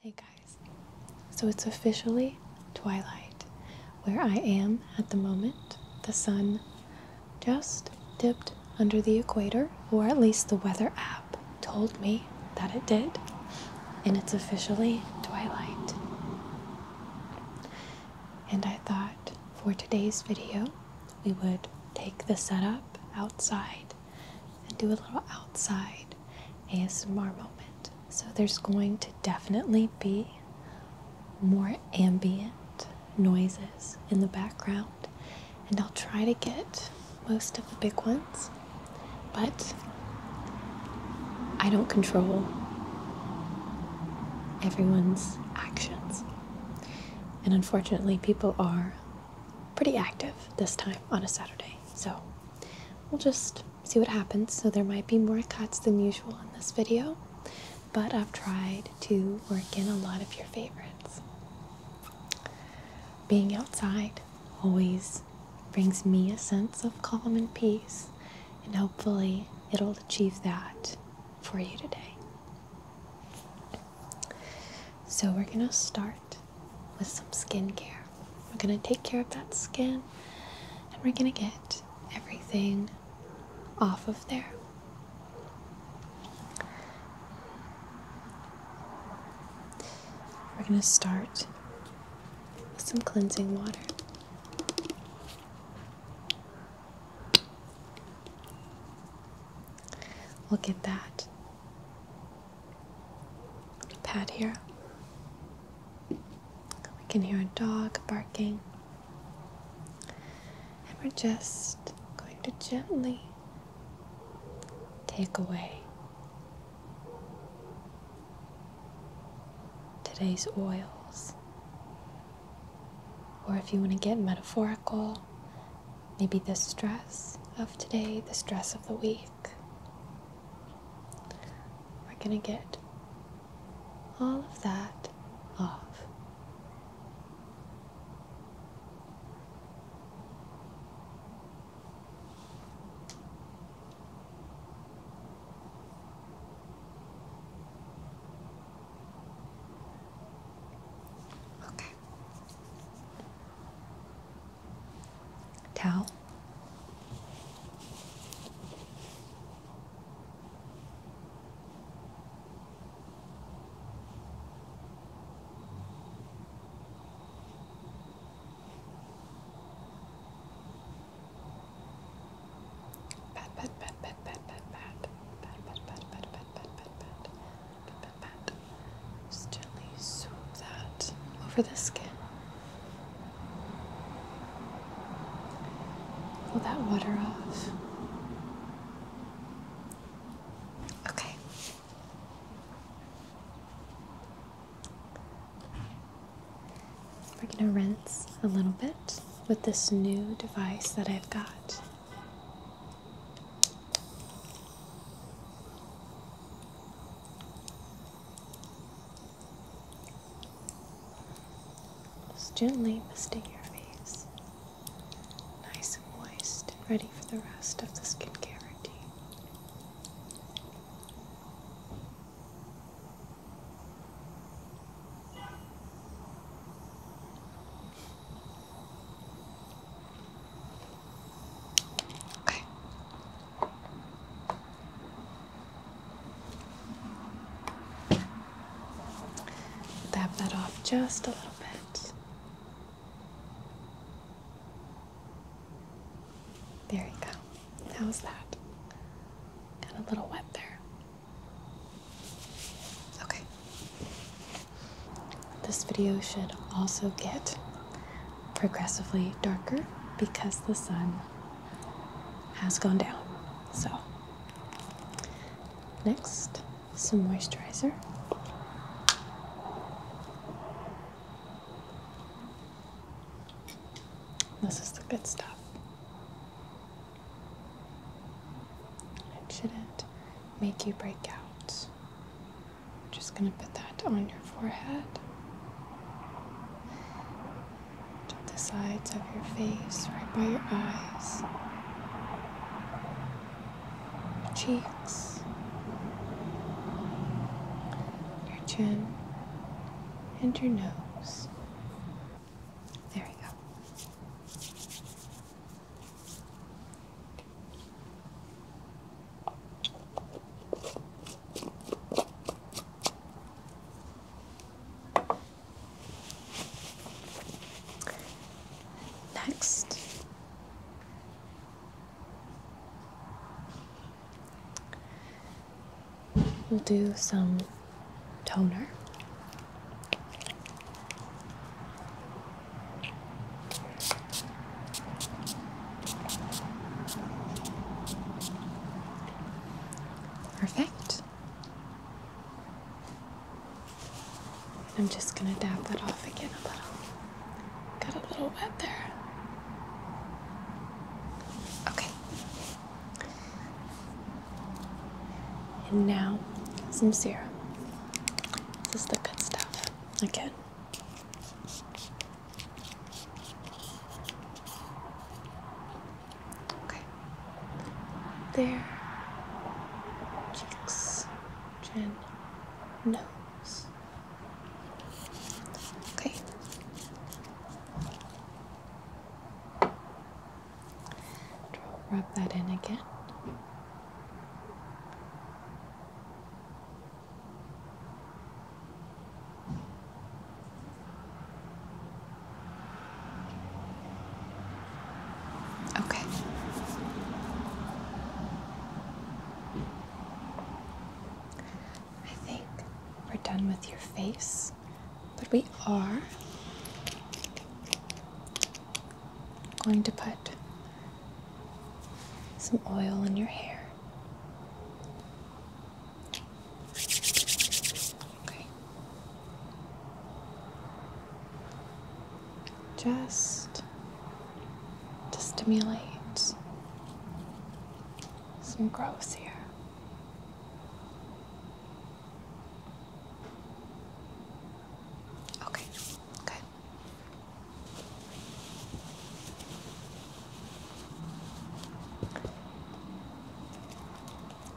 Hey guys, so it's officially twilight where I am at the moment. The sun just dipped under the equator, or at least the weather app told me that it did, and it's officially twilight. And I thought for today's video, we would take the setup outside and do a little outside ASMR moment. So there's going to definitely be more ambient noises in the background, and I'll try to get most of the big ones, but I don't control everyone's actions. And unfortunately, people are pretty active this time on a Saturday. So we'll just see what happens. So there might be more cuts than usual in this video, but I've tried to work in a lot of your favorites. Being outside always brings me a sense of calm and peace, and hopefully it'll achieve that for you today. So we're going to start with some skincare. We're gonna take care of that skin and we're gonna get everything off of there. We're gonna start with some cleansing water. Look at that pad here. We can hear a dog barking. And we're just going to gently take away today's oils. Or if you want to get metaphorical, maybe the stress of today, the stress of the week, we're going to get all of that off. Okay towel. Pat pat pat pat pat pat pat pat pat pat pat pat pat pat pat just gently swoop that over the skin. Pull that water off. Okay. We're going to rinse a little bit with this new device that I've got. Just gently misting your face, nice and moist and ready for the rest of the skincare routine. Okay. Dab that off just a little bit. There you go. How's that? Got a little wet there. Okay. This video should also get progressively darker because the sun has gone down. So, next, some moisturizer. This is the good stuff. It shouldn't make you break out I'm just going to put that on your forehead, the sides of your face, right by your eyes, your cheeks, your chin, and your nose. There we go. Next, we'll do some toner. Perfect. I'm just gonna dab that off again a little. Got a little wet there. Okay. And now some serum. This is the good stuff. Okay. Okay. There. Cheeks. Chin. Nose. Okay. Rub that in again. Okay. I think we're done with your face, but we are going to put some oil in your hair. Okay. Just to stimulate some growth here. Okay, good.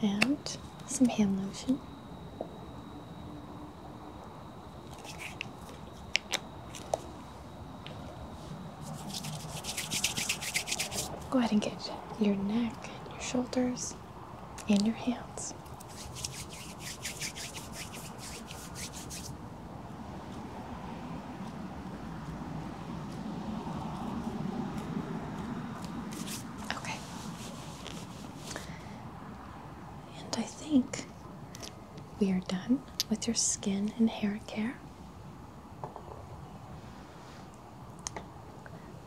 And some hand lotion. Go ahead and get your neck, your shoulders, and your hands. Okay. And I think we are done with your skin and hair care.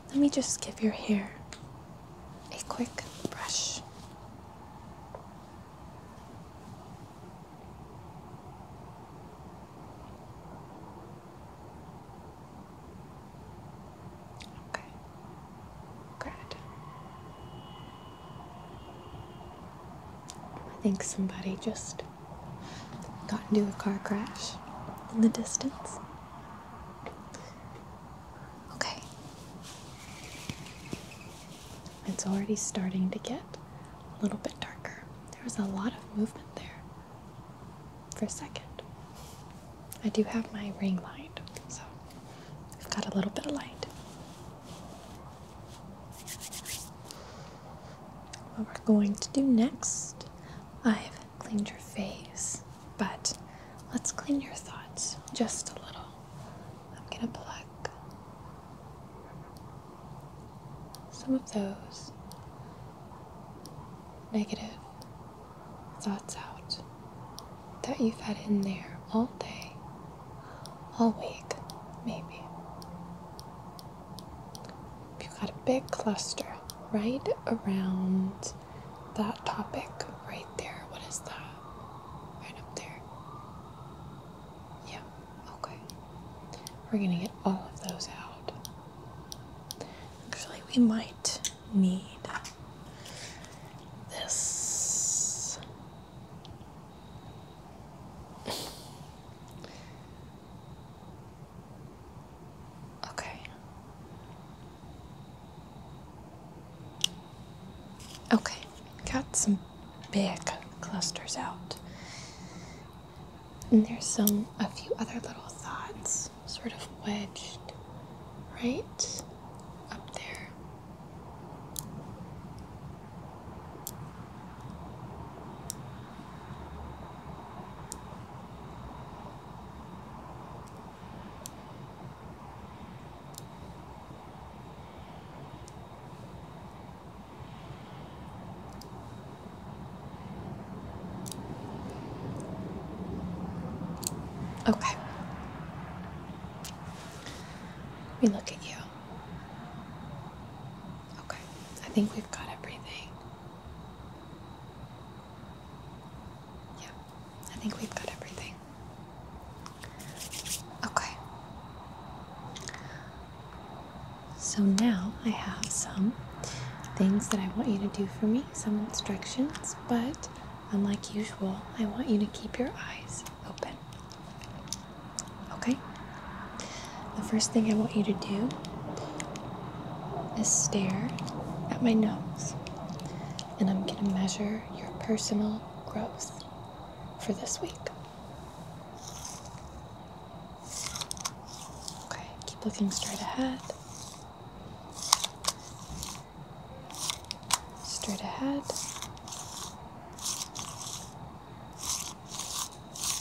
Let me just give your hair a quick brush. Okay. Good. I think somebody just got into a car crash in the distance. Okay. It's already starting to get a little bit darker. There was a lot of movement there for a second. I do have my ring light, so we have got a little bit of light. What we're going to do next, I've cleaned your face, but let's clean your thoughts just a little. I'm gonna pluck some of those negative thoughts out that you've had in there all day, all week, maybe. If you've got a big cluster right around that topic right there, what is that? Right up there. Yeah, okay. We're gonna get all of those out. Actually, we might need this. Okay. Okay, got some big clusters out. And there's some, a few other little thoughts, sort of wedged right up there. Okay. Let me look at you. Okay. I think we've got everything. Yeah. I think we've got everything. Okay. So now I have some things that I want you to do for me, some instructions, but unlike usual, I want you to keep your eyes open. Okay? The first thing I want you to do is stare at my nose, and I'm going to measure your personal growth for this week. Okay, keep looking straight ahead. Straight ahead.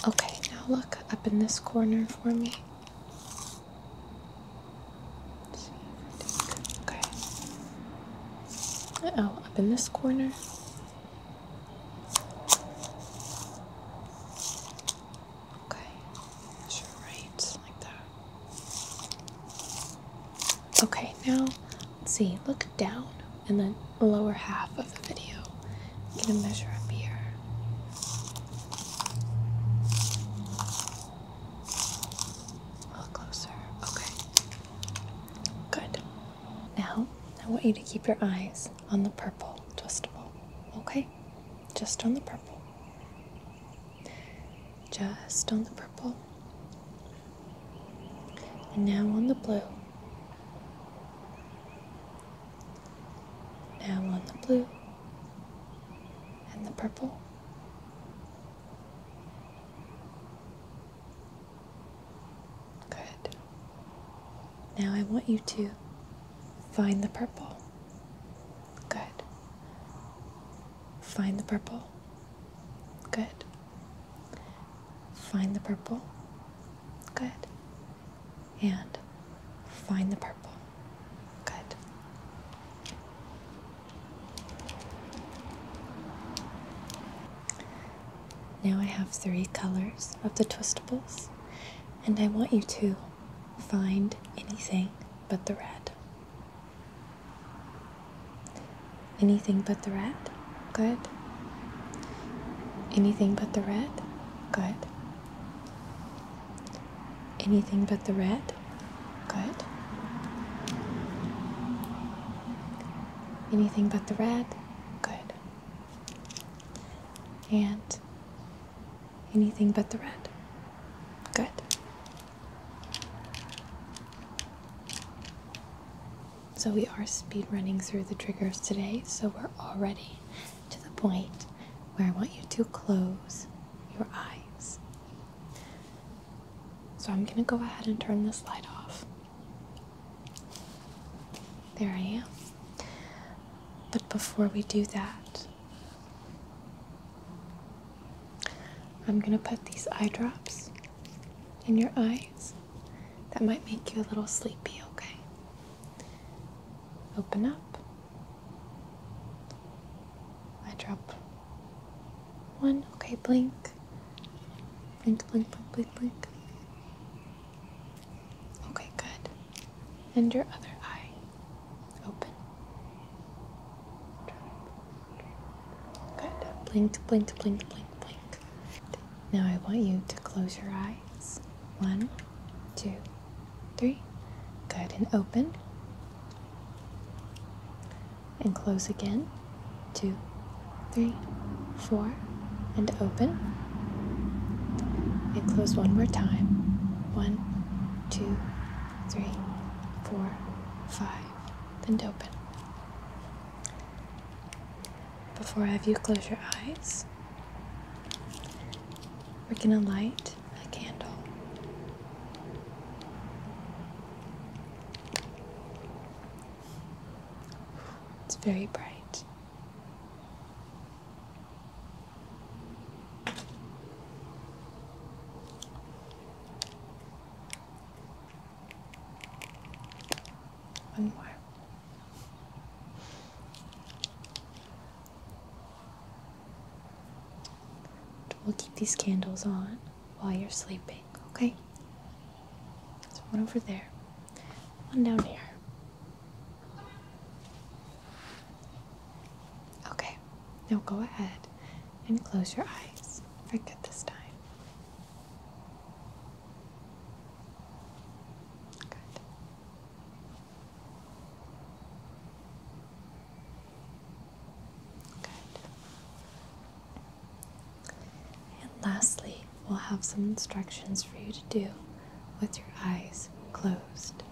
Okay, now look up in this corner for me. Uh oh, up in this corner. Okay, measure like that. Okay, now let's see, look down and then lower half of the video. I'm gonna measure up here. A little closer. Okay. Good. Now, I want you to keep your eyes on the purple twistable, okay? Just on the purple. Just on the purple. And now on the blue. Now on the blue. And the purple. Good. Now I want you to find the purple. Good. Find the purple. Good. Find the purple. Good. And find the purple. Good. Now I have three colors of the twistables, and I want you to find anything but the red. Anything but the red? Good. Anything but the red? Good. Anything but the red? Good. Anything but the red? Good. And anything but the red? Good. So we are speed running through the triggers today, so we're already to the point where I want you to close your eyes. So I'm going to go ahead and turn this light off. There I am. But before we do that, I'm going to put these eye drops in your eyes. That might make you a little sleepy, okay? Open up. I drop one. Okay, blink blink. Blink, blink, blink, blink, Okay, good. And your other eye. Open. Good. Blinked, blinked, blinked, blinked, blinked. Now I want you to close your eyes. One, two, three. Good. And open and close again. Two, three, four, and open. And close one more time. One, two, three, four, five, and open. Before I have you close your eyes, we're going to light a candle. It's very bright. One more. We'll keep these candles on while you're sleeping, okay? So one over there, one down here. Okay, now go ahead and close your eyes. Very good this time. Good. Good. And lastly, we'll have some instructions for you to do with your eyes closed.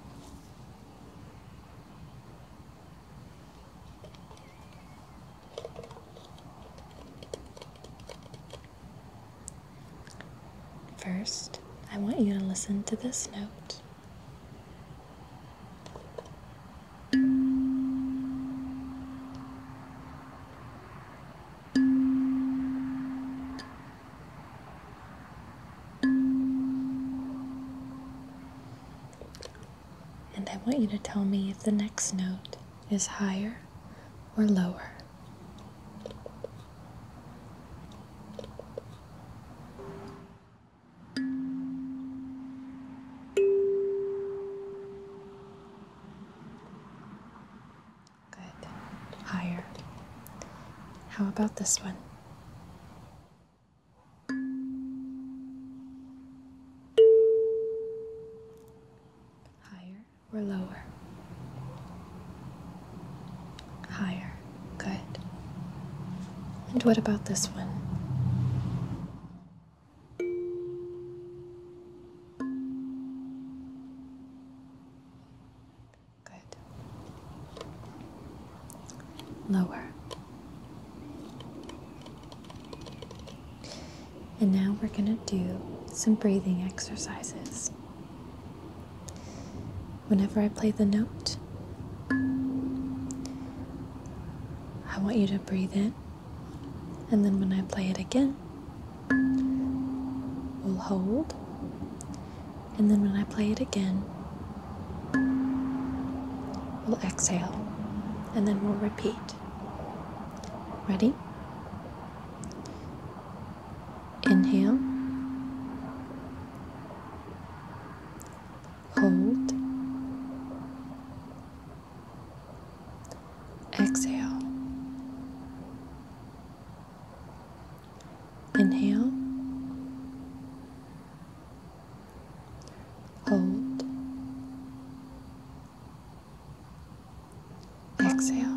First, I want you to listen to this note. And I want you to tell me if the next note is higher or lower. Good. Higher. How about this one? Higher or lower? Higher. Good. And what about this one? Good. Lower. And now we're going to do some breathing exercises. Whenever I play the note, I want you to breathe in and then when I play it again, we'll hold. And then when I play it again, we'll exhale. And then we'll repeat. Ready? Inhale. Hold. Exhale. Inhale. Hold. Exhale.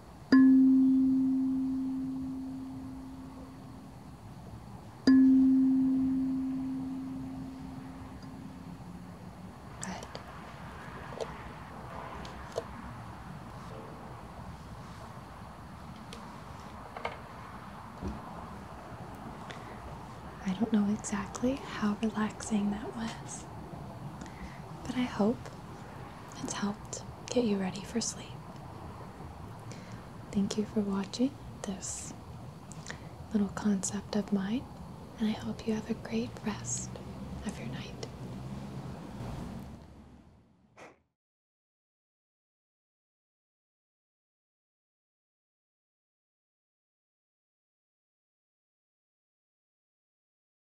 I don't know exactly how relaxing that was, but I hope it's helped get you ready for sleep. Thank you for watching this little concept of mine, and I hope you have a great rest of your night.